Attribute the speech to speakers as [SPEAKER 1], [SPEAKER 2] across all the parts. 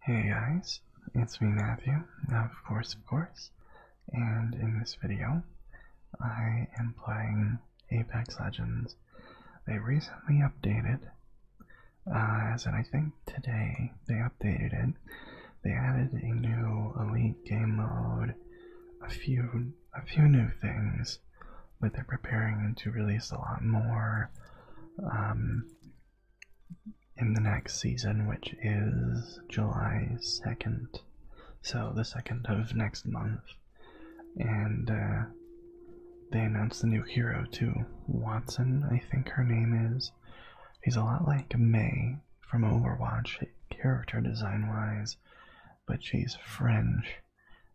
[SPEAKER 1] Hey guys, it's me Matthew, of course, of course, and in this video, I am playing Apex Legends. They recently updated, uh, as in I think today they updated it. They added a new elite game mode, a few a few new things, but they're preparing to release a lot more. Um, in the next season, which is July 2nd. So, the 2nd of next month. And uh, they announced the new hero too. Watson, I think her name is. He's a lot like May from Overwatch, character design wise, but she's French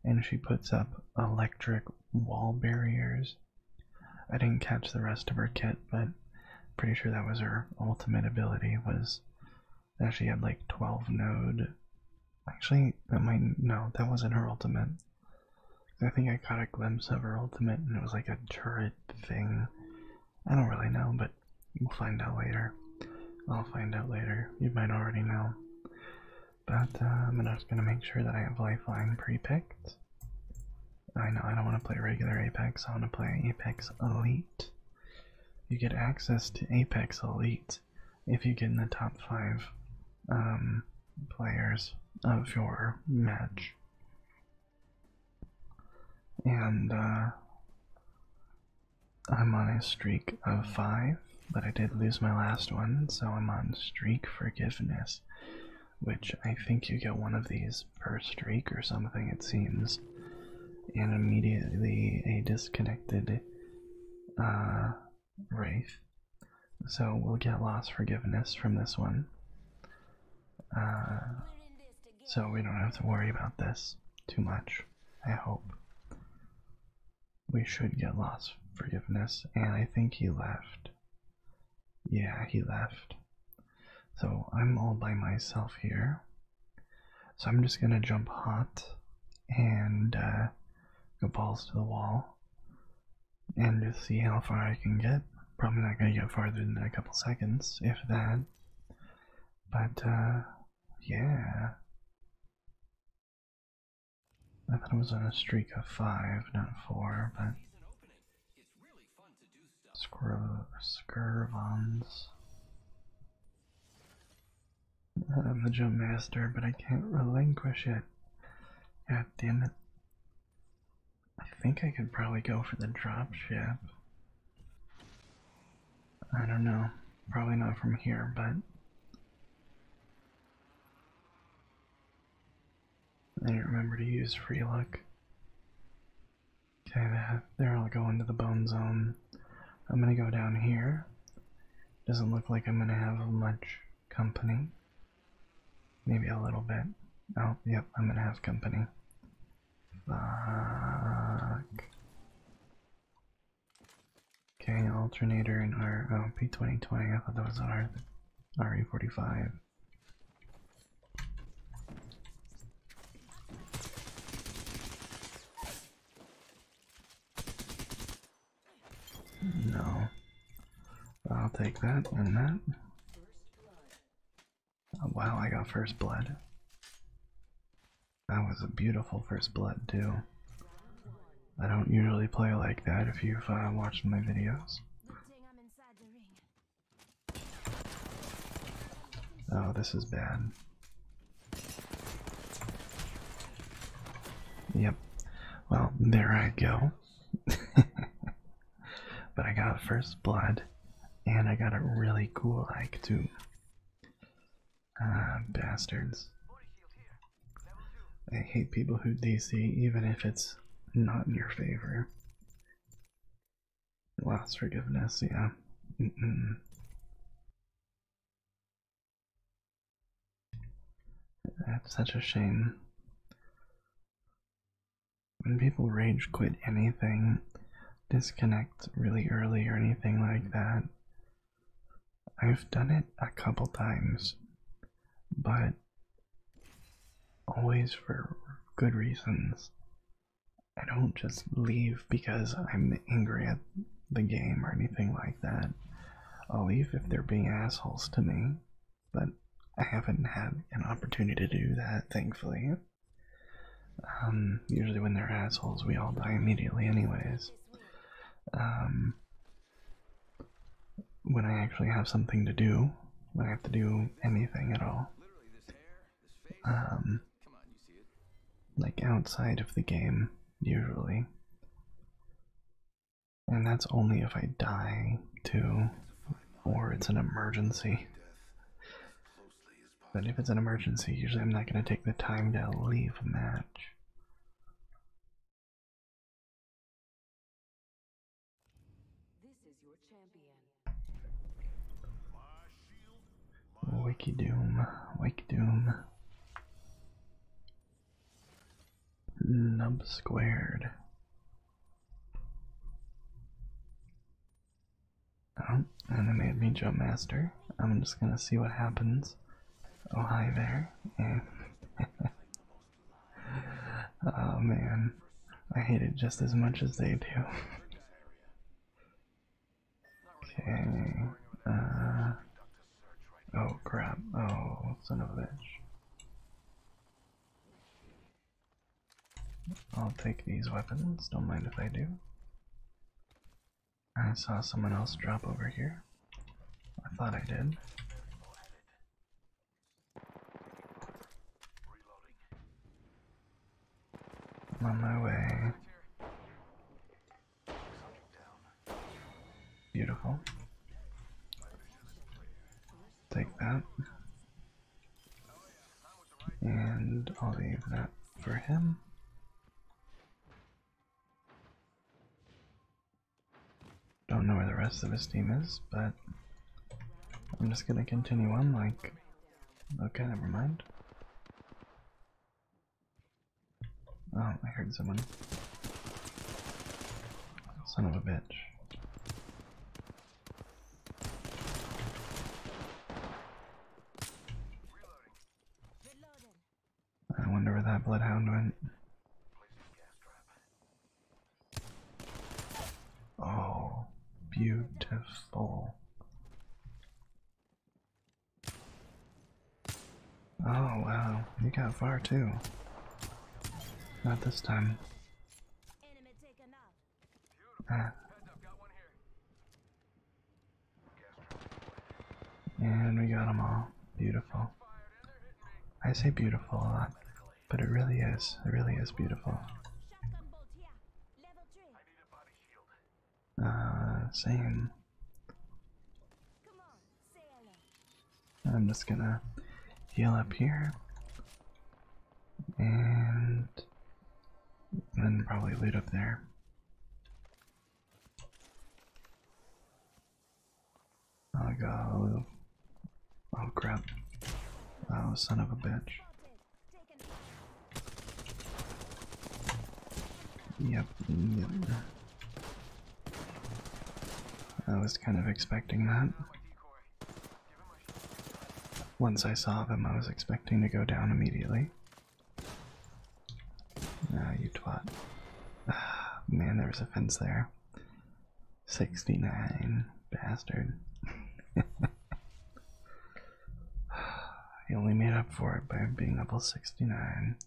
[SPEAKER 1] and she puts up electric wall barriers I didn't catch the rest of her kit, but pretty sure that was her ultimate ability was that she had like 12 node. Actually, that might no, that wasn't her ultimate. I think I caught a glimpse of her ultimate and it was like a turret thing. I don't really know, but we'll find out later. I'll find out later. You might already know. But I'm um, just gonna make sure that I have Lifeline pre-picked. I know I don't want to play regular Apex. I want to play Apex Elite. You get access to Apex Elite if you get in the top five um, players of your match. And uh, I'm on a streak of five but I did lose my last one, so I'm on streak forgiveness, which I think you get one of these per streak or something, it seems. And immediately a disconnected uh, Wraith. So we'll get lost forgiveness from this one. Uh, so we don't have to worry about this too much, I hope we should get lost forgiveness, and I think he left. Yeah, he left. So I'm all by myself here. So I'm just gonna jump hot and uh, go balls to the wall and just see how far I can get. Probably not gonna get farther than a couple seconds, if that. But uh, yeah. I thought it was on a streak of five, not four, but Scurv Scurvons. I'm the jump master, but I can't relinquish it. God damn it. I think I could probably go for the drop ship. I don't know. Probably not from here, but I didn't remember to use free luck. Okay, that, there I'll go into the bone zone. I'm gonna go down here. Doesn't look like I'm gonna have much company. Maybe a little bit. Oh, yep, I'm gonna have company. Fuck. Okay, alternator in our P2020. I thought that was our RE45. No, I'll take that and that. Oh, wow, I got first blood. That was a beautiful first blood too. I don't usually play like that if you've uh, watched my videos. Oh, this is bad. Yep. Well, there I go. but I got first blood, and I got a really cool like too. Ah, bastards. I hate people who DC, even if it's not in your favor. Last forgiveness, yeah. That's such a shame. When people rage quit anything, disconnect really early or anything like that, I've done it a couple times, but always for good reasons. I don't just leave because I'm angry at the game or anything like that. I'll leave if they're being assholes to me, but I haven't had an opportunity to do that, thankfully. Um, usually when they're assholes, we all die immediately anyways. Um, when I actually have something to do, when I have to do anything at all. Um, like outside of the game, usually. And that's only if I die, too, or it's an emergency. But if it's an emergency, usually I'm not going to take the time to leave a match. This is Wiki Doom, Wiki Doom. Nub squared. Oh, and it made me jump master. I'm just gonna see what happens Oh, hi there. oh man, I hate it just as much as they do. okay. Uh, oh crap. Oh, son of a bitch. I'll take these weapons, don't mind if I do. I saw someone else drop over here. I thought I did. I'm on my way. Beautiful. Take that. And I'll leave that for him. Don't know where the rest of his team is, but I'm just gonna continue on like okay, never mind. Oh, I heard someone. Son of a bitch. I wonder where that bloodhound went. Oh, beautiful. Oh, wow. You got far too. Not this time. Ah. And we got them all. Beautiful. I say beautiful a lot, but it really is. It really is beautiful. Uh, same. I'm just gonna heal up here. And then probably loot up there. I got a little. Oh crap. Oh, son of a bitch. yep. I was kind of expecting that. Once I saw them, I was expecting to go down immediately. Ah, you twat. Ah, man, there was a fence there. 69, bastard. he only made up for it by being level 69.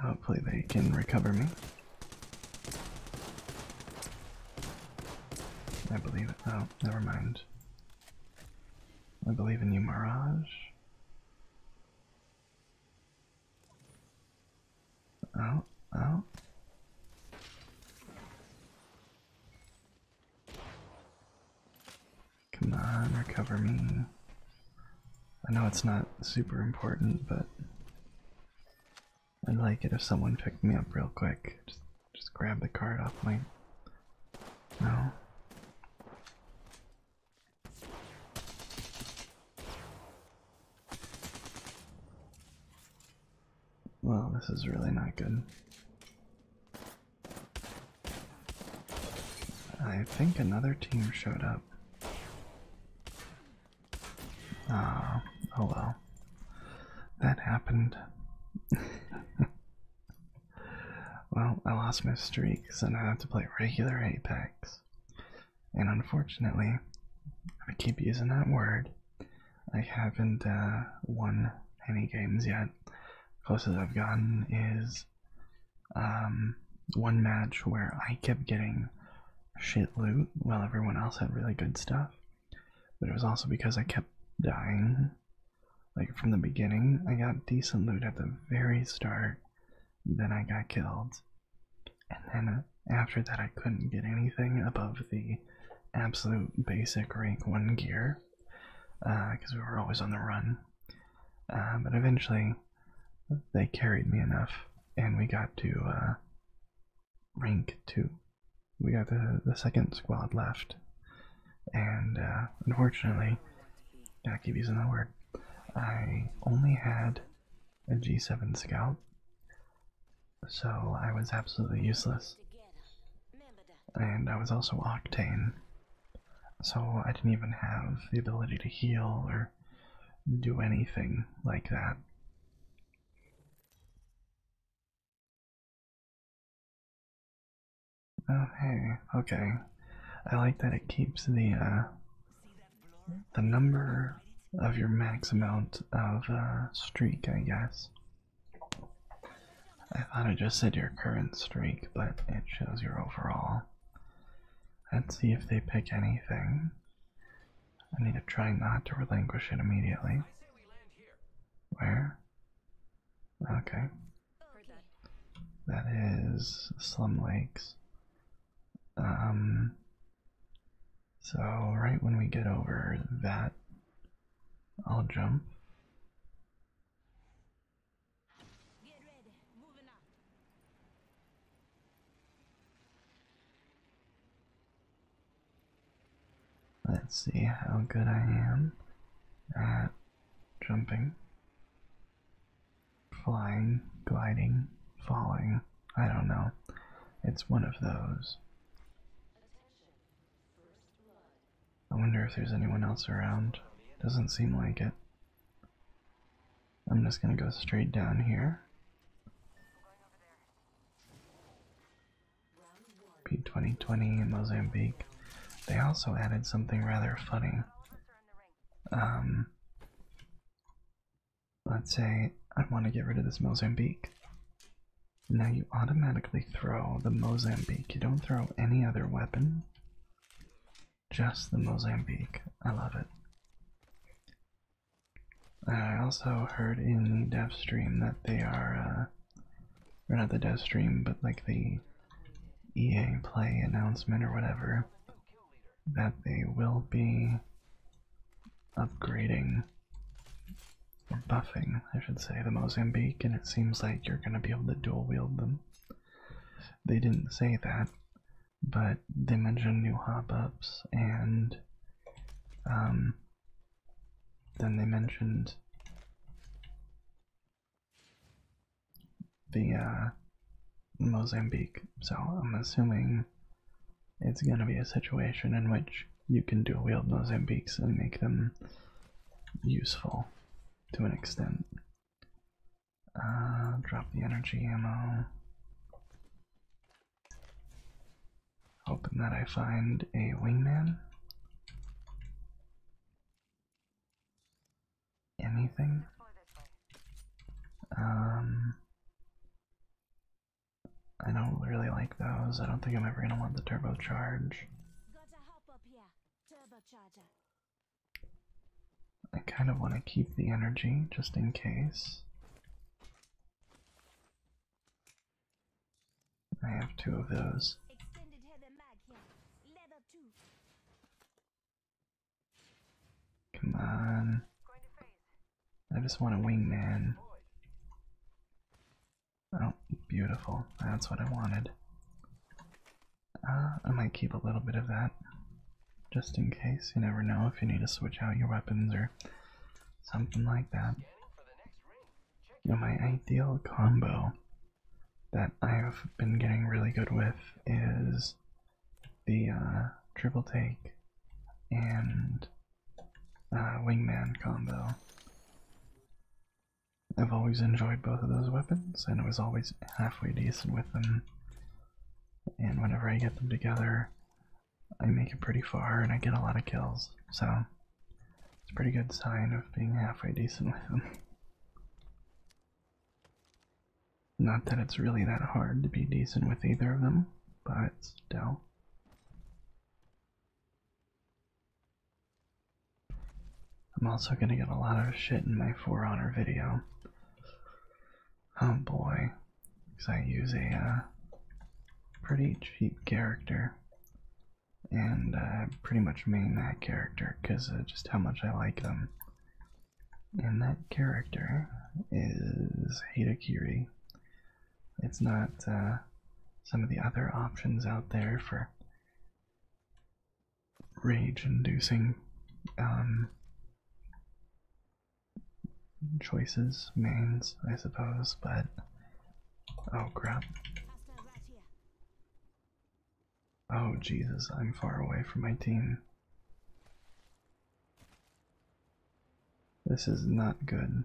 [SPEAKER 1] Hopefully they can recover me. I believe it. Oh, never mind. I believe in you, Mirage. Oh, oh. Come on, recover me. I know it's not super important, but I'd like it if someone picked me up real quick. Just, grab the card off my. No. Well, this is really not good. I think another team showed up. Ah, oh well. That happened. well, I lost my streak, so now I have to play regular Apex. And unfortunately, I keep using that word. I haven't uh, won any games yet. Closest I've gotten is um, one match where I kept getting shit loot while everyone else had really good stuff. But it was also because I kept dying. Like from the beginning, I got decent loot at the very start, then I got killed. And then uh, after that, I couldn't get anything above the absolute basic rank 1 gear because uh, we were always on the run. Uh, but eventually, they carried me enough, and we got to uh, rank two. We got the the second squad left, and uh, unfortunately, gotta keep using that word. I only had a G7 scout, so I was absolutely useless. And I was also octane, so I didn't even have the ability to heal or do anything like that. Oh hey, okay. I like that it keeps the uh, the number of your max amount of uh, streak, I guess. I thought I just said your current streak, but it shows your overall. Let's see if they pick anything. I need to try not to relinquish it immediately. Where? Okay. That is Slum Lakes. Um, so, right when we get over that, I'll jump. Let's see how good I am at jumping, flying, gliding, falling. I don't know. It's one of those. I wonder if there's anyone else around. Doesn't seem like it. I'm just going to go straight down here. P2020 in Mozambique. They also added something rather funny. Um, let's say I want to get rid of this Mozambique. Now you automatically throw the Mozambique. You don't throw any other weapon just the Mozambique. I love it. I also heard in the dev stream that they are, uh, or not the dev stream, but like the EA Play announcement or whatever, that they will be upgrading or buffing, I should say, the Mozambique, and it seems like you're going to be able to dual wield them. They didn't say that, but they mentioned new hop ups, and um, then they mentioned the uh, Mozambique. So I'm assuming it's going to be a situation in which you can do wield Mozambiques and make them useful to an extent. Uh, drop the energy ammo. Hoping that I find a wingman. Anything? Um, I don't really like those. I don't think I'm ever gonna want the turbocharge. I kind of want to keep the energy just in case. I have two of those. Come on. I just want a wingman. Oh, beautiful. That's what I wanted. I might keep a little bit of that just in case. You never know if you need to switch out your weapons or something like that. my ideal combo that I've been getting really good with is the uh, triple take and uh, wingman combo. I've always enjoyed both of those weapons, and it was always halfway decent with them. And whenever I get them together, I make it pretty far and I get a lot of kills. So it's a pretty good sign of being halfway decent with them. Not that it's really that hard to be decent with either of them, but still. I'm also gonna get a lot of shit in my 4 Honor video. Oh boy, because I use a uh, pretty cheap character, and uh, pretty much main that character because just how much I like them. And that character is Hidakiri. It's not uh, some of the other options out there for rage-inducing um, choices, mains, I suppose, but oh crap. Oh Jesus, I'm far away from my team. This is not good.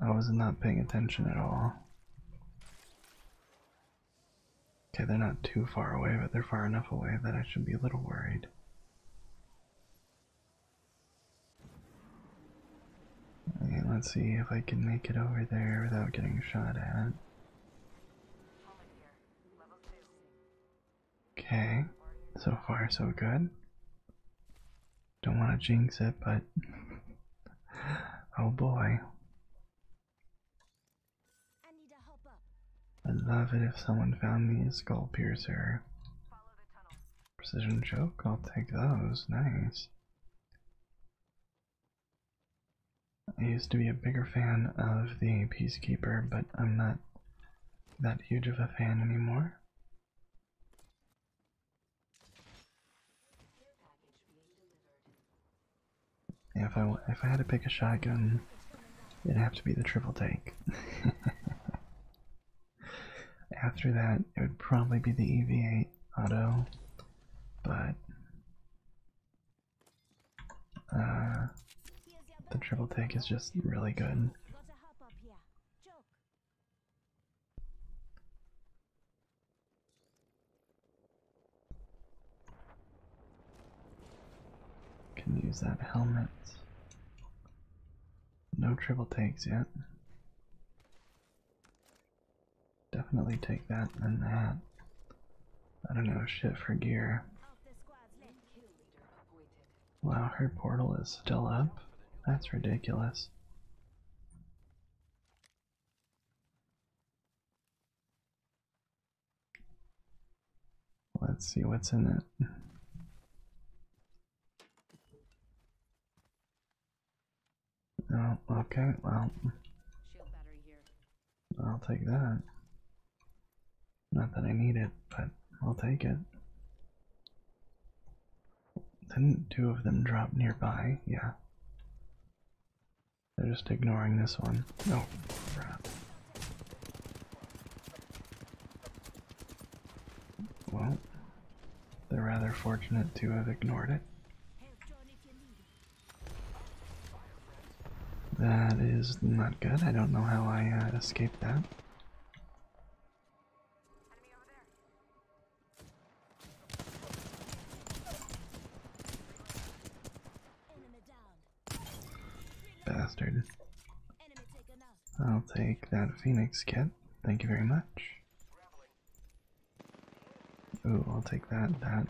[SPEAKER 1] I was not paying attention at all. Okay, they're not too far away, but they're far enough away that I should be a little worried. Okay, let's see if I can make it over there without getting shot at. Okay, so far so good. Don't want to jinx it, but oh boy, I'd love it if someone found me a skull piercer. Precision choke, I'll take those. Nice. I used to be a bigger fan of the Peacekeeper, but I'm not that huge of a fan anymore if I if I had to pick a shotgun, it'd have to be the triple tank. After that, it would probably be the EV8 auto, but uh, the triple tank is just really good. Can use that helmet. No triple takes yet. Definitely take that and that. I don't know shit for gear. Wow, her portal is still up. That's ridiculous. Let's see what's in it. Oh, okay, well, I'll take that. Not that I need it, but I'll take it. Didn't two of them drop nearby? Yeah. They're just ignoring this one. No. Oh, well, they're rather fortunate to have ignored it. That is not good. I don't know how I uh, escaped that. Bastard. I'll take that Phoenix kit. Thank you very much. Ooh, I'll take that, that.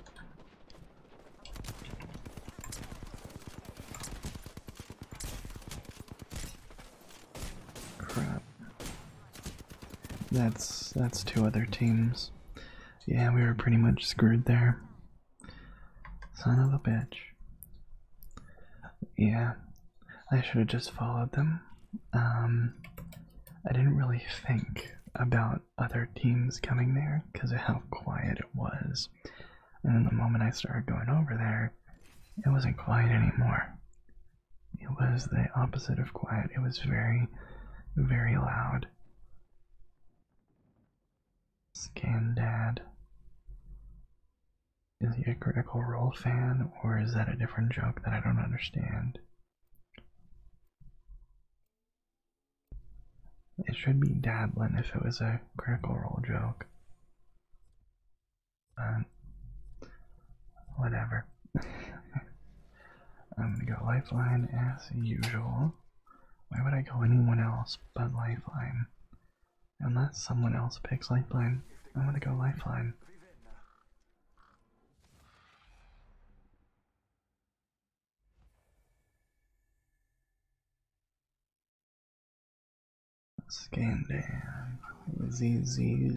[SPEAKER 1] Crap. That's that's two other teams. Yeah, we were pretty much screwed there. Son of a bitch. Yeah, I should have just followed them. Um, I didn't really think about other teams coming there because of how quiet it was. And then the moment I started going over there, it wasn't quiet anymore. It was the opposite of quiet. It was very, very loud. Scandad. Is he a Critical Role fan, or is that a different joke that I don't understand? It should be dabbling if it was a Critical Role joke. But, whatever. I'm gonna go Lifeline as usual. Why would I go anyone else but Lifeline? Unless someone else picks Lifeline, I'm gonna go Lifeline. Scandan, ZZX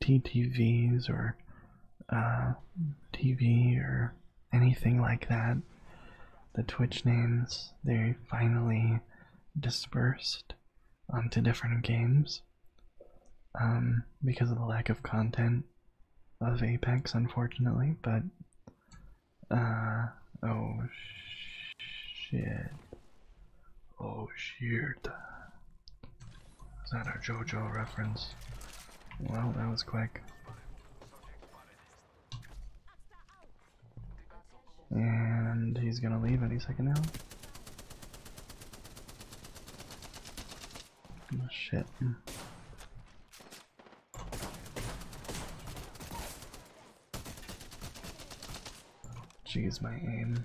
[SPEAKER 1] TTVs or uh, TV or anything like that. The Twitch names, they finally dispersed onto different games um, because of the lack of content of Apex, unfortunately, but. Uh, oh shit. Oh shit. Is that our JoJo reference? Well, that was quick. And he's gonna leave any second now. Oh, shit. Jeez, my aim.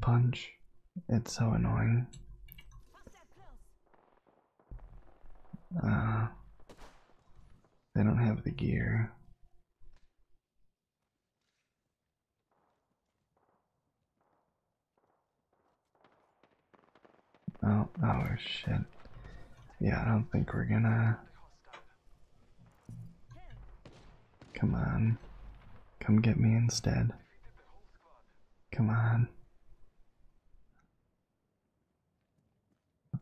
[SPEAKER 1] punch. It's so annoying. Uh, they don't have the gear. Oh, oh shit. Yeah, I don't think we're gonna Come on. Come get me instead. Come on.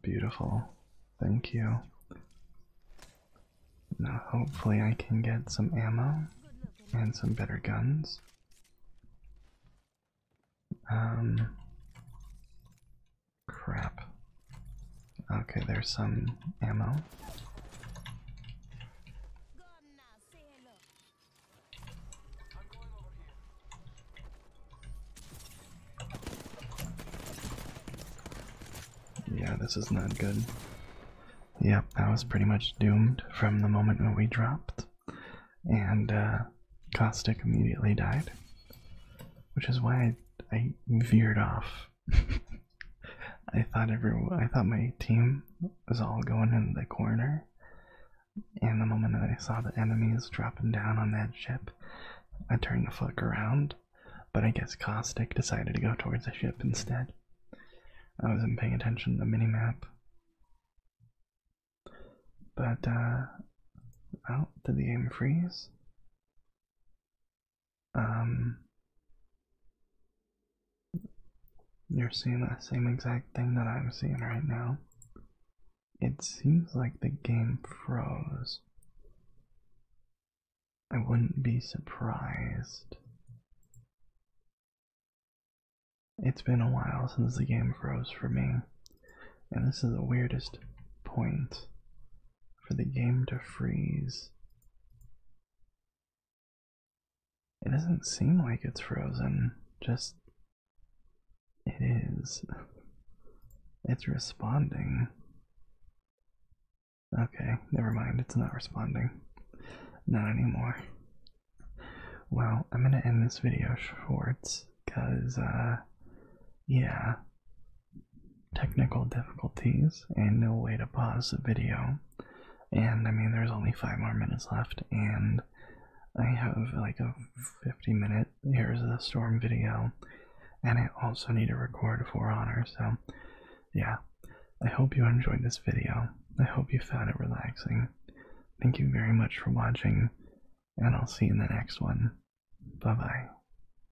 [SPEAKER 1] Beautiful. Thank you. Now, hopefully, I can get some ammo and some better guns. Um. Crap. Okay, there's some ammo. Yeah, this is not good. Yep, I was pretty much doomed from the moment when we dropped, and uh, Caustic immediately died, which is why I veered off I thought everyone, I thought my team was all going in the corner, and the moment that I saw the enemies dropping down on that ship, I turned the fuck around. But I guess Caustic decided to go towards the ship instead. I wasn't paying attention to the map. But, uh. Oh, did the game freeze? um, you're seeing the same exact thing that I'm seeing right now. It seems like the game froze. I wouldn't be surprised. It's been a while since the game froze for me, and this is the weirdest point for the game to freeze. It doesn't seem like it's frozen, just it is. It's responding. Okay, never mind, it's not responding. Not anymore. Well, I'm gonna end this video short, cause, uh, yeah, technical difficulties and no way to pause the video. And I mean, there's only five more minutes left, and I have like a 50 minute Here's the Storm video, and I also need to record For Honor. So, yeah, I hope you enjoyed this video. I hope you found it relaxing. Thank you very much for watching, and I'll see you in the next one. Bye bye.